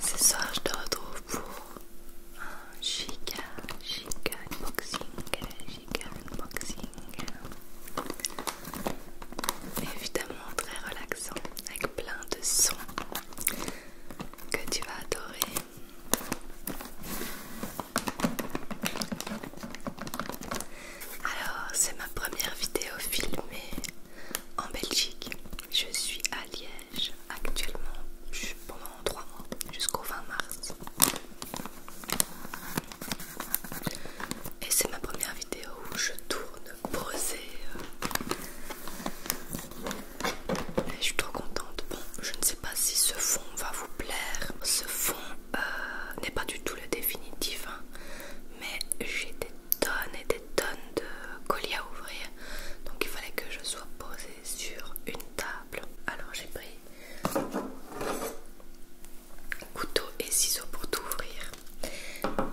Ce soir, je te retrouve pour un giga, giga unboxing, giga unboxing. Évidemment très relaxant, avec plein de sons que tu vas adorer. Alors, c'est ma première vidéo filmée en Belgique. Je suis à Liège actuellement pendant 3 mois jusqu'au 20 mars. Et c'est ma première vidéo où je tourne posée. je suis trop contente. Bon, je ne sais pas si ce fond va vous plaire. Ce fond euh, n'est pas du tout le définitif, hein, mais j'ai tonnes et des tonnes de colis à ouvrir donc il fallait que je sois posée sur une table alors j'ai pris couteau et ciseaux pour tout ouvrir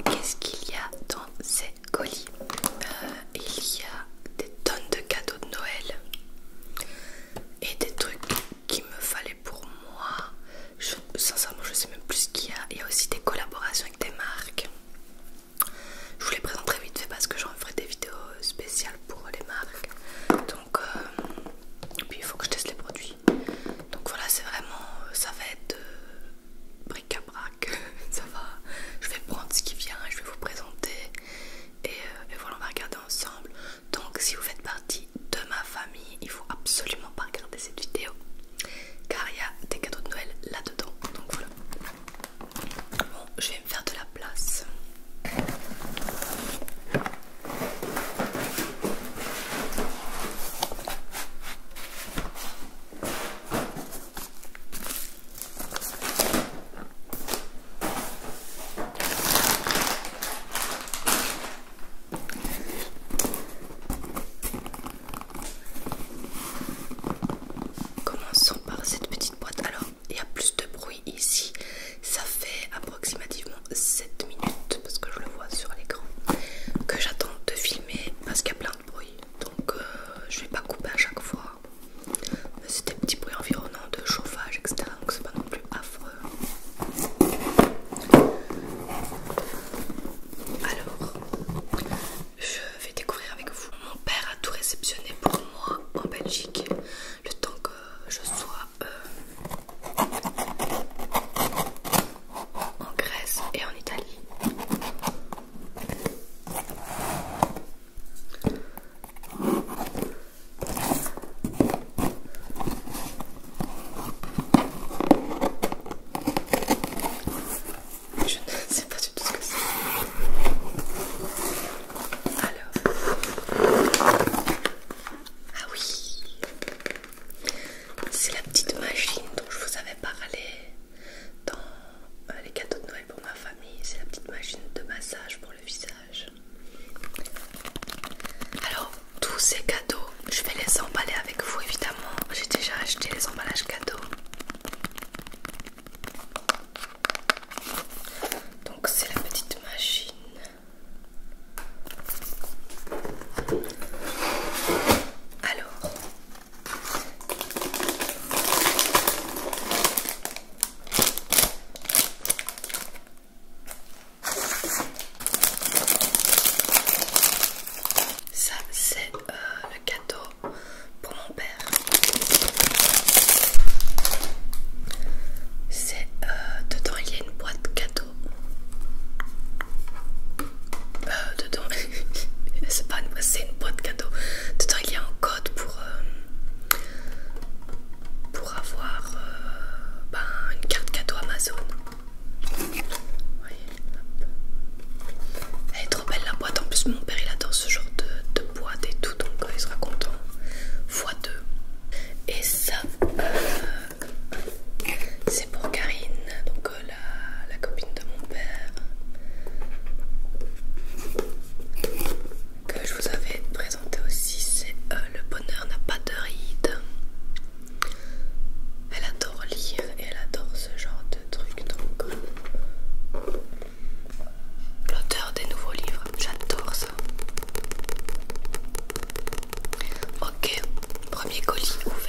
qu'est-ce qu'il y a dans ces colis euh, il y a des tonnes de cadeaux de Noël et des trucs qu'il me fallait pour moi sincèrement je sais même plus ce qu'il y a. Il y a aussi des collaborations avec des marques. Je vous les présenterai vite fait parce que j'en ferai des vidéos spéciales pour les marques. Donc, euh, puis il faut que je teste les produits. Donc voilà, c'est vraiment, ça va être euh, bric-à-brac. ça va, je vais prendre ce qui vient, je vais vous présenter euh, et, voilà, on va regarder ensemble. Donc, si vous faites partie de ma famille, il faut absolument pas regarder cette vidéo car il y a des cadeaux de Noël là-dedans. Donc voilà. Bon, je vais me faire de la place. Commençons par cette petite boîte. Alors, il y a plus de bruit ici. Ça fait approximativement 7 minutes, parce que je le vois sur l'écran, que j'attends de filmer parce qu'il y a plein de bruit. Donc, euh, je vais pas couper à chaque fois. C'est des petits bruits environnants de chauffage, etc. Donc, c'est pas non plus affreux. Alors, je vais découvrir avec vous. Mon père a tout réceptionné pour moi en Belgique, le temps que je sois euh, en Grèce et en Italie. Je ne sais pas du tout ce que c'est. Alors. Ah oui. C'est la petite machine dont je vous avais parlé dans euh, les cadeaux de Noël pour ma famille. C'est la petite machine de massage pour le visage. Alors tous ces cadeaux, je vais les emballer avec vous évidemment. J'ai déjà acheté les emballages cadeaux. Donc c'est la petite machine. Alors, ça c'est euh, le cadeau pour mon père. C'est euh, dedans il y a une boîte cadeau. Euh, dedans c'est pas une boîte, c'est une boîte cadeau. Dedans il y a un code pour pour avoir ben, une carte cadeau Amazon. Elle est trop belle la boîte, en plus mon père il adore ce genre de, boîte et tout, donc euh, il sera content. x2. Et ça, euh, c'est pour Karine, donc euh, la, copine de mon père que je vous avais présenté aussi c'est le bonheur n'a pas de rides elle adore lire et elle adore ce genre de trucs. Donc, euh, l'auteur des nouveaux livres, j'adore ça. Ok, premier colis ouvert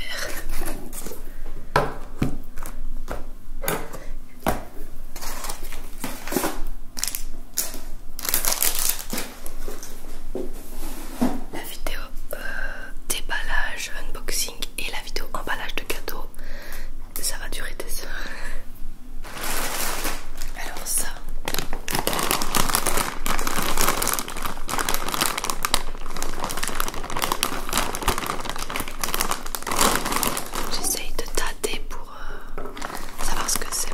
vidéo euh, déballage, unboxing et la vidéo emballage de cadeaux. Ça va durer des heures. Alors ça. J'essaye de tâter pour euh, savoir ce que c'est.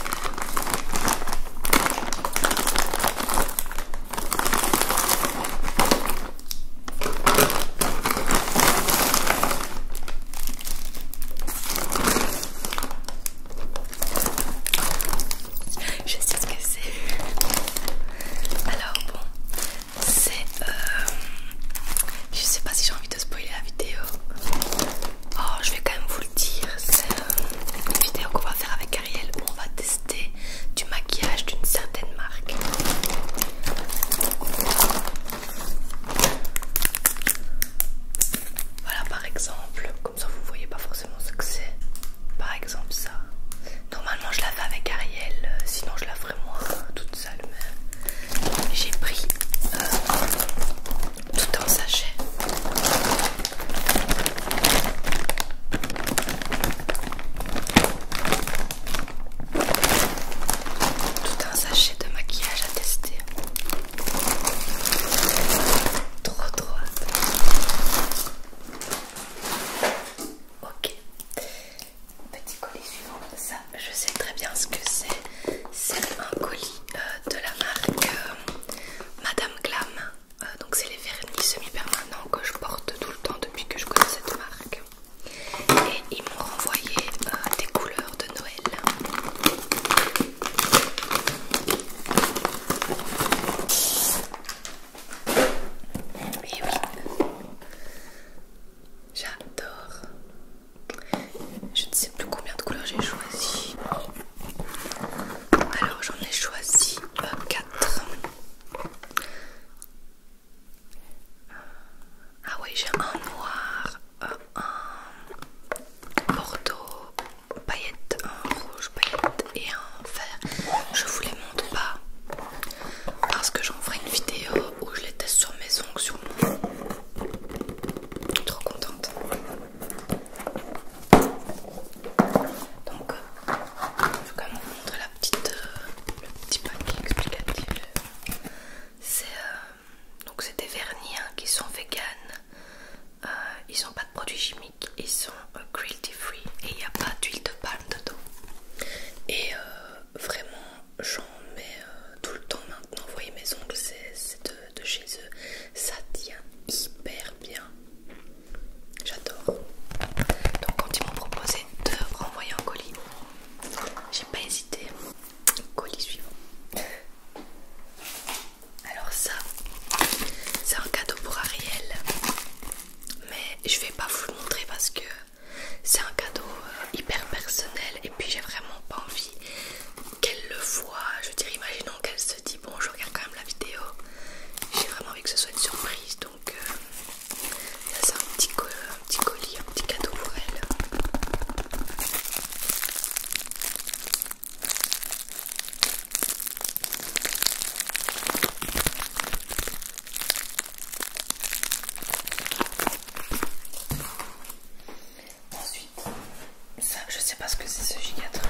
Je sais ce que c'est. Alors bon, c'est... Euh, je sais pas si j'ai envie de spoiler la vidéo. Oh, je vais quand même vous le dire. C'est euh, une vidéo qu'on va faire avec Ariel on va tester du maquillage d'une certaine marque. Voilà par exemple, comme ça vous voyez pas forcément ce que c'est. Par exemple ça. Normalement je la fais avec Ariel, euh, sinon je la ferai moi hein, toute seule. Mais j'ai pris euh, tout un sachet. Tout un sachet de maquillage à tester. Trop trop. Ok. Petit colis suivant. Ça, je sais très bien ce que c'est. C'est un colis euh, de la marque euh, Madame Glam. Euh, donc c'est les vernis semi-permanents que je porte tout le temps depuis que je connais cette marque. Et ils m'ont renvoyé euh, des couleurs de Noël. Et oui, j'adore. Je ne sais plus combien de couleurs j'ai choisi. Alors j'en ai choisi 4. Euh, ah oui, j'ai un noir, un bordeaux paillette, un rouge paillette et un vert. Je vous les montre pas parce que j'en ferai une vidéo où je les teste sur mes ongles, sur mon... Trop contente. Donc, je vais quand même vous montrer la petite, euh, le petit paquet explicatif. C'est euh, des vernis hein, qui sont vegan, euh, ils n'ont pas de produits chimiques, ils sont cruelty free et il n'y a pas d'huile de palme dedans. Et vraiment, j'en mets tout le temps maintenant. Vous voyez, mes ongles, c'est de, chez eux, ça tient super bien. J'adore. Donc quand ils m'ont proposé de renvoyer un colis, j'ai pas hésité. Colis suivant. Alors ça, c'est un cadeau pour Ariel. Mais je vais pas vous le montrer parce que c'est un cadeau euh, hyper personnel et puis j'ai vraiment pas envie qu'elle le voie. Je veux dire, imaginons qu'elle se dit bon, je regarde quand même la vidéo j'ai vraiment envie que ce soit une surprise, donc ça euh, c'est un petit, un petit colis, un petit cadeau pour elle. Ensuite, ça, je sais pas ce que c'est ce giga truc.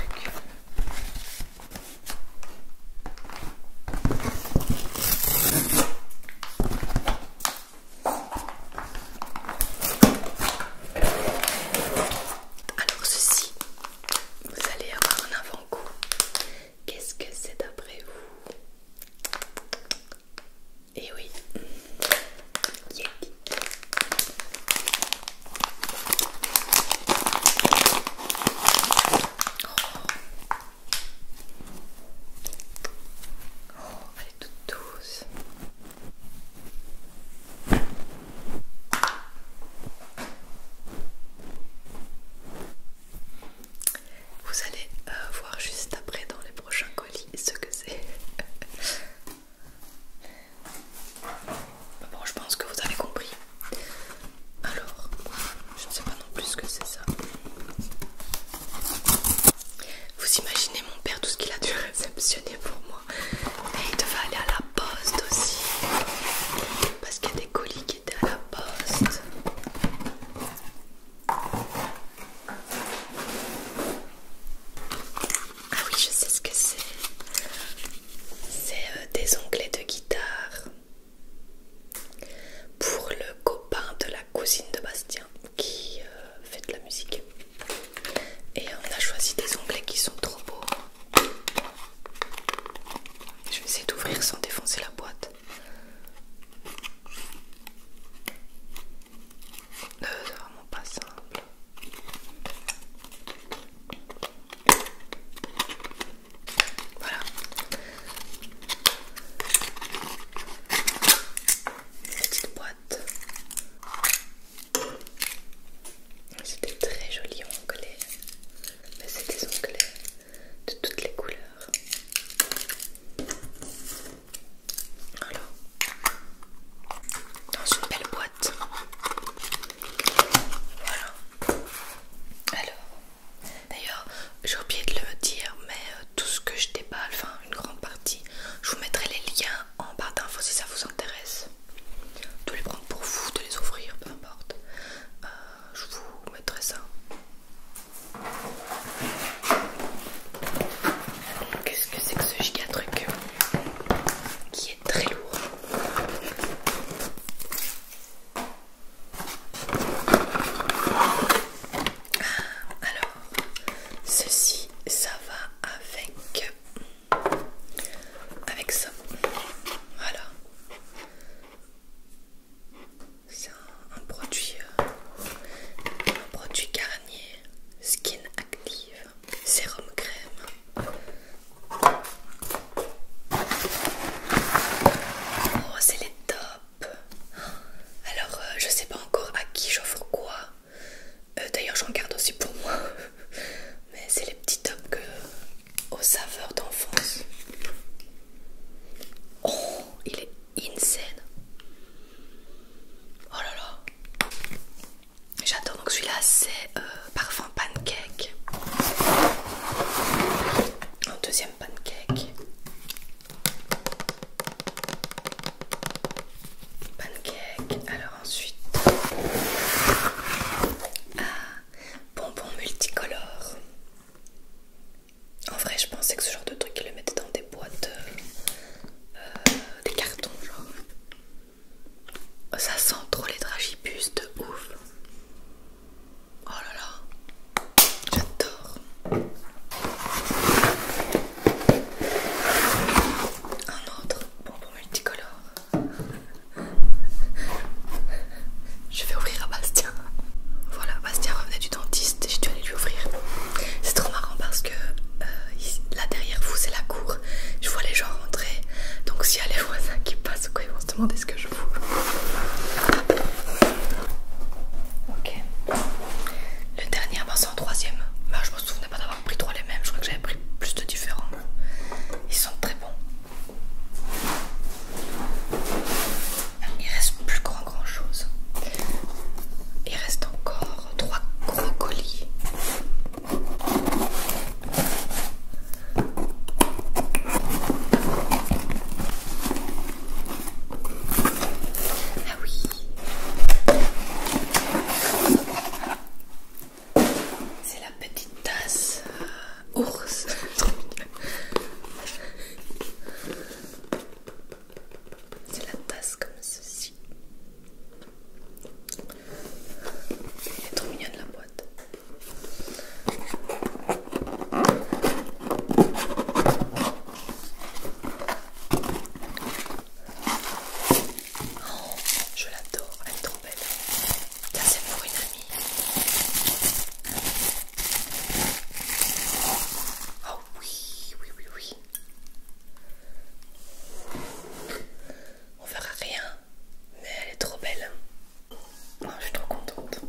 Alors ceci, vous allez avoir un avant-goût. Qu'est-ce que c'est d'après vous Eh oui, Oh, elle est Vous allez euh, voir juste après dans les prochains colis ce que c'est. Bah, bon, je pense que vous avez compris. Alors, je ne sais pas non plus ce que c'est ça. Vous imaginez mon père tout ce qu'il a dû réceptionner pour moi. Et il devait aller à la poste aussi. Parce qu'il y a des colis qui étaient à la poste. Ah oui, je sais ce que c'est. C'est euh, des onglets de guitare pour le copain de la cousine de Bastien qui euh, fait de la musique. Et on a choisi des onglets qui sont trop beaux. Je vais essayer d'ouvrir sans défoncer la boîte. Euh, c'est vraiment pas simple. Voilà. Petite boîte. C'était très joli onglets, Mais c'est des onglets de toutes les couleurs. Alors, dans une belle boîte. Alors, d'ailleurs, j'ai oublié de le dire, mais euh, tout ce que je déballe, enfin une grande partie, je vous mettrai les liens en barre d'infos si ça vous intéresse. De les prendre pour vous, de les ouvrir, peu importe. Euh, je vous mettrai ça. Qu'est-ce que c'est que ce giga truc qui est très lourd. Ah, alors, ceci, ça va avec avec ça. Voilà. C'est un, produit, euh, un produit Garnier Skin Active sérum crème. Oh, c'est les tops. Alors, euh, je sais pas encore à qui j'offre quoi. Euh, d'ailleurs, j'en garde aussi pour moi. Mais c'est les petits tops aux saveurs d'enfance. Oh, il est insane. Oh là là. J'adore donc celui-là c'est euh, parfum pancake. Un deuxième pancake. Pancake. Alors ensuite ah, bonbon multicolore. En vrai je pensais que ce genre de truc ils le mettaient dans des boîtes euh, euh, des cartons genre. Ça sent trop les dragibus de ouf. Oh là là, j'adore. Un autre bonbon multicolore. Je vais ouvrir à Bastien. Voilà, Bastien revenait du dentiste et j'ai dû aller lui ouvrir. C'est trop marrant parce que euh, là derrière vous c'est la cour, je vois les gens rentrer, donc s'il y a les voisins qui passent quoi, ils vont se demander ce que je fous. Ok. Le dernier a en troisième. Bah, je me souvenais pas d'avoir pris trois les mêmes, je crois que j'avais pris plus de différents. Ils sont très bons. Ah, il reste plus grand grand chose. Il reste encore trois gros colis. Ah oui. C'est la petite tasse euh, ours. C'est la tasse comme ceci. Elle est trop mignonne la boîte. Oh, je l'adore, elle est trop belle. Ça c'est pour une amie. Oh oui, oui, oui, oui on verra rien, mais elle est trop belle. Oh, je suis trop contente.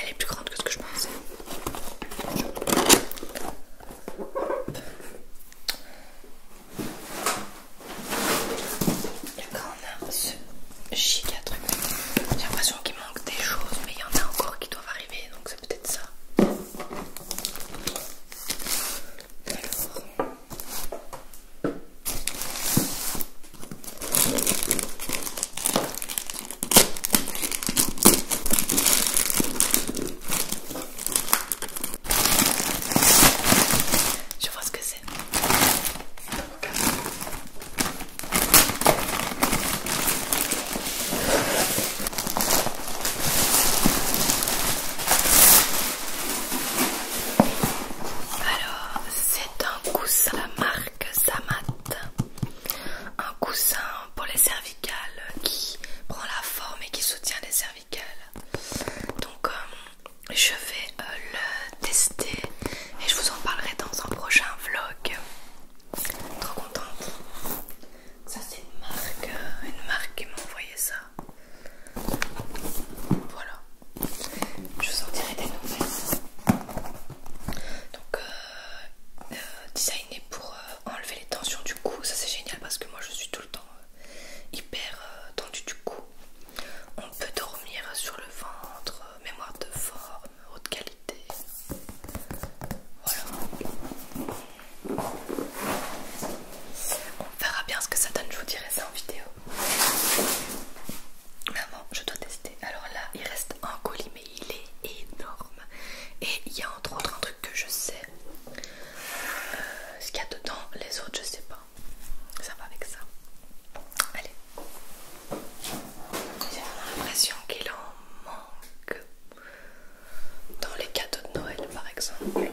Elle est... plus grande que ce que je pensais. D'accord, on giga truc. J'ai l'impression qu'il manque des choses, mais il y en a encore qui doivent arriver, donc c'est peut-être ça. Je vois ce que c'est. Alors, c'est un coussin de la marque Samat, un coussin pour les cervicales qui prend la forme et qui soutient les cervicales. Donc, euh, je vais euh, le tester et je vous en parlerai dans un prochain vlog. Trop contente. Ça c'est une marque, euh, une marque qui m'a envoyé ça. Voilà. Je vous en dirai des nouvelles. Donc euh, euh, designé pour enlever les tensions du cou, ça c'est génial parce que moi je suis tout le temps hyper tendue du cou. On peut dormir sur le ventre, mémoire de forme, haute qualité. On verra bien ce que ça donne, je vous dirai ça en vidéo. Maman, je dois tester. Alors là, il reste un colis, mais il est énorme. Et il y a entre autres un truc que je sais. Euh, ce qu'il y a dedans, les autres, je sais pas. Ça va avec ça. Allez, j'ai l'impression qu'il en manque dans les cadeaux de Noël par exemple.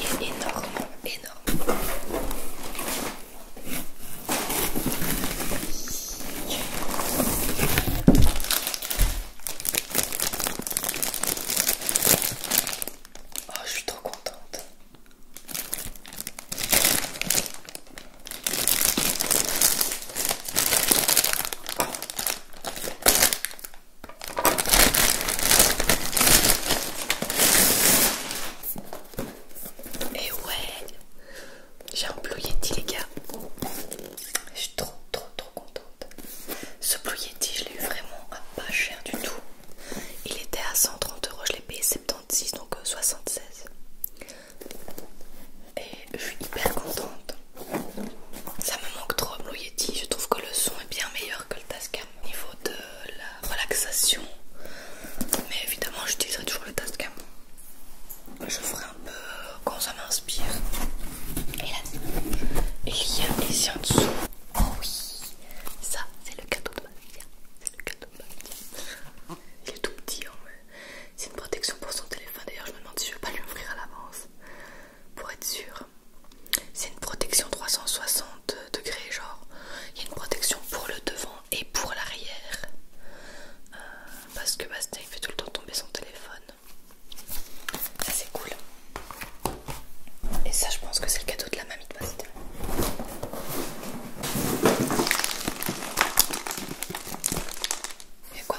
est énorme, énorme. Oh, je suis trop contente. Et ouais, j'ai un blue yeti les gars. Je suis trop trop trop contente. Ce Blue Yeti, je l'ai eu vraiment à pas cher du tout. Il était à 130 euros, je l'ai payé 76, donc 76. Euh, Et je suis hyper contente. Ça me manque trop, Blue Yeti. Je trouve que le son est bien meilleur que le Tascam au niveau de la relaxation. Mais évidemment, j'utiliserai toujours le Tascam. Je ferai un peu quand ça m'inspire. Et il y a ici en dessous Oh oui, ça c'est le cadeau de ma hein. C'est le cadeau de ma Il est tout petit, en hein, vrai. c'est une protection pour son téléphone. D'ailleurs, je me demande si je vais pas lui ouvrir à l'avance pour être sûr. C'est une protection 360 degrés, genre il y a une protection pour le devant et pour l'arrière euh, parce que Bastien fait tout le temps tomber son téléphone c'est cool. Et ça je pense que c'est le cadeau de la mamie de Bastien. Il y a quoi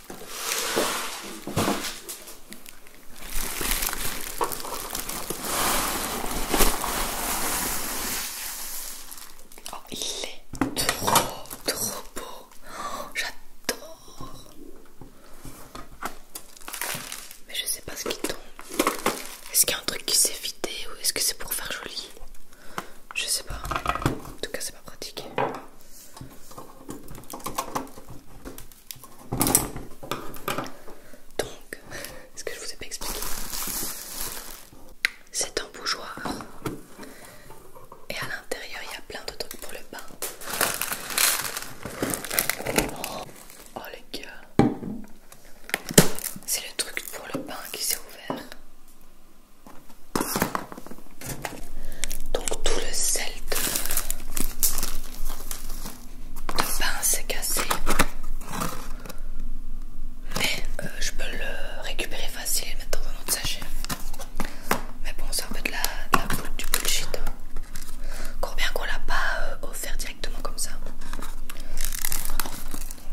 Oh, il est trop trop beau. Oh, j'adore. Mais je sais pas ce qui tombe. Est-ce qu'il y a un truc qui s'est vidé ou est-ce que c'est pour faire joli Je sais pas. En tout cas, c'est pas pratique. Donc, ce que je vous ai pas expliqué, c'est un bougeoir et à l'intérieur il y a plein de trucs pour le bain. Oh, oh les gars, c'est le truc pour le bain qui s'est ouvert. Donc tout le sel de, pain s'est cassé. Mais euh, je peux le récupérer facile et le mettre dans un autre sachet. Mais bon, c'est un peu de la, boule, du bullshit. Hein. bien qu'on l'a pas euh, offert directement comme ça.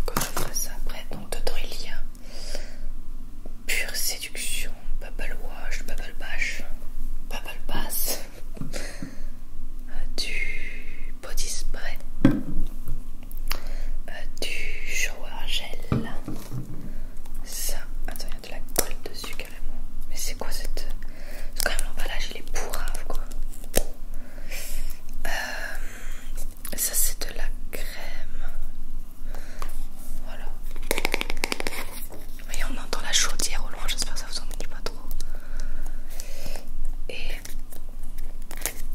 Donc je ferai ça après. Donc de il pure séduction, Bubble Wash, Bubble Bash, Bubble Bass, euh, du Body Spray, euh, du Shower Gel. Ça, attends, il y a de la colle dessus carrément. Mais c'est quoi cette. C'est quand même l'emballage, il est pourrave quoi. Euh, ça, c'est de la crème voilà. Voyez, on entend la chaudière au loin, j'espère que ça vous ennuie pas trop. Et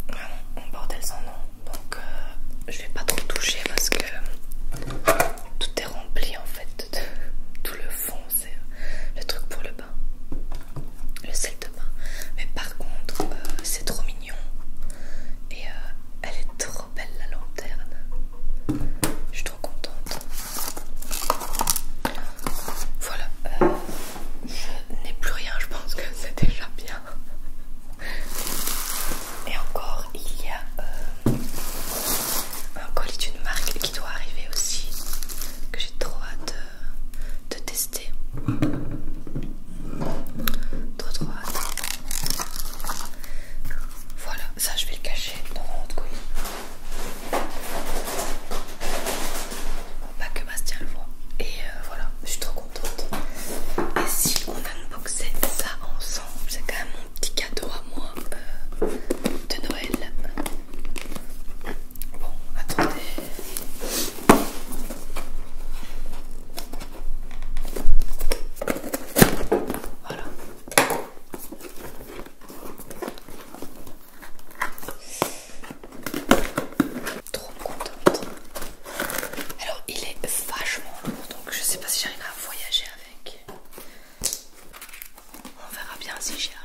vraiment, on bordel sans nom. Donc, euh, je vais pas trop toucher parce que tout est rempli en fait. De... Tout le fond, c'est le truc pour le bain, le sel de bain. Mais par contre, euh, c'est trop mignon et euh, elle est trop belle la lanterne. Je suis trop contente. Voilà, euh, je n'ai plus rien, je pense que c'est déjà bien. Et encore, il y a euh, un colis d'une marque qui doit arriver aussi, que j'ai trop hâte de, euh, de tester. Trop trop hâte. Voilà, ça je vais le cacher dans mon autre Pas que Bastien le voit. Et euh, voilà, je suis trop contente. Et si on unboxait ça ensemble, c'est quand même mon petit cadeau à moi euh, de Noël. Bon, attendez. Voilà. Trop contente. Alors il est vachement lourd donc je sais pas si j'arriverai à voyager avec. On verra bien si j'y arrive.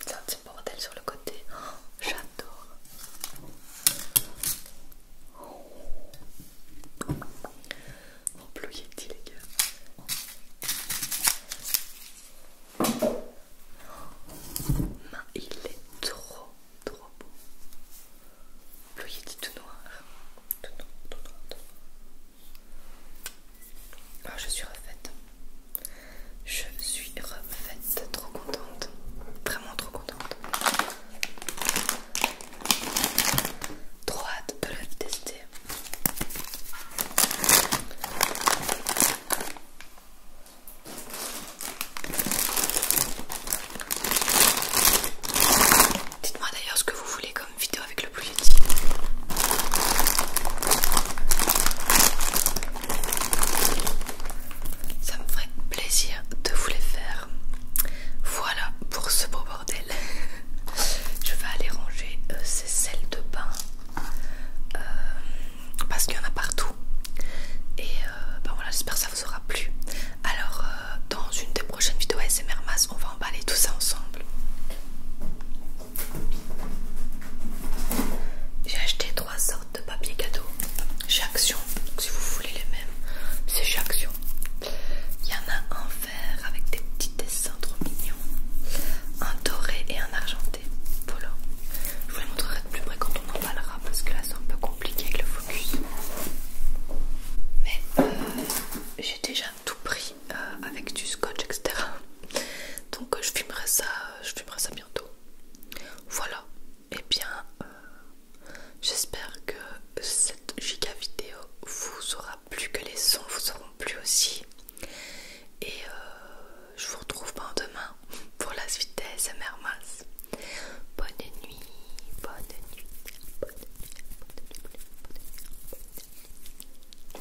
C'est un petit bordel sur le côté. Oh, J'adore. Oh, mon bleu yeti les gars. Il est trop, trop beau. Lui, il dit tout noir. Tout noir, tout ah, je suis refaite. Je suis refaite. Trop contente. Vraiment trop contente. Trop hâte de la tester. Dites-moi d'ailleurs ce que vous voulez comme vidéo avec le Blue Ça me ferait plaisir de vous les faire. Voilà pour ce beau bordel. Je vais aller ranger euh, ces selles de bain. Euh, parce qu'il y en a partout. Et euh, ben voilà, j'espère que ça vous aura plu. Alors, euh, dans une des prochaines vidéos ASMR Mass, on va emballer tout ça ensemble. J'ai acheté trois sortes de papier cadeau chez Action, si vous voulez les mêmes, c'est chez Action. Il y en a un vert avec des petits dessins trop mignons, un doré et un argent voilà. Je vous les montrerai de plus près quand on en parlera parce que là c'est un peu compliqué avec le focus. Mais euh, j'ai déjà tout pris euh, avec du scotch etc. Donc je filmerai ça, euh, je filmerai ça bientôt. Voilà. Et eh bien j'espère que cette giga vidéo vous aura plu, que les sons vous auront plu aussi. Et je vous retrouve demain pour la suite des SMR Bonne nuit, bonne nuit, bonne nuit, bonne nuit, bonne nuit, bonne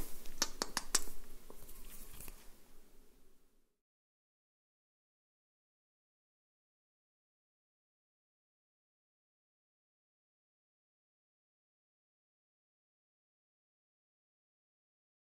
nuit, bonne nuit.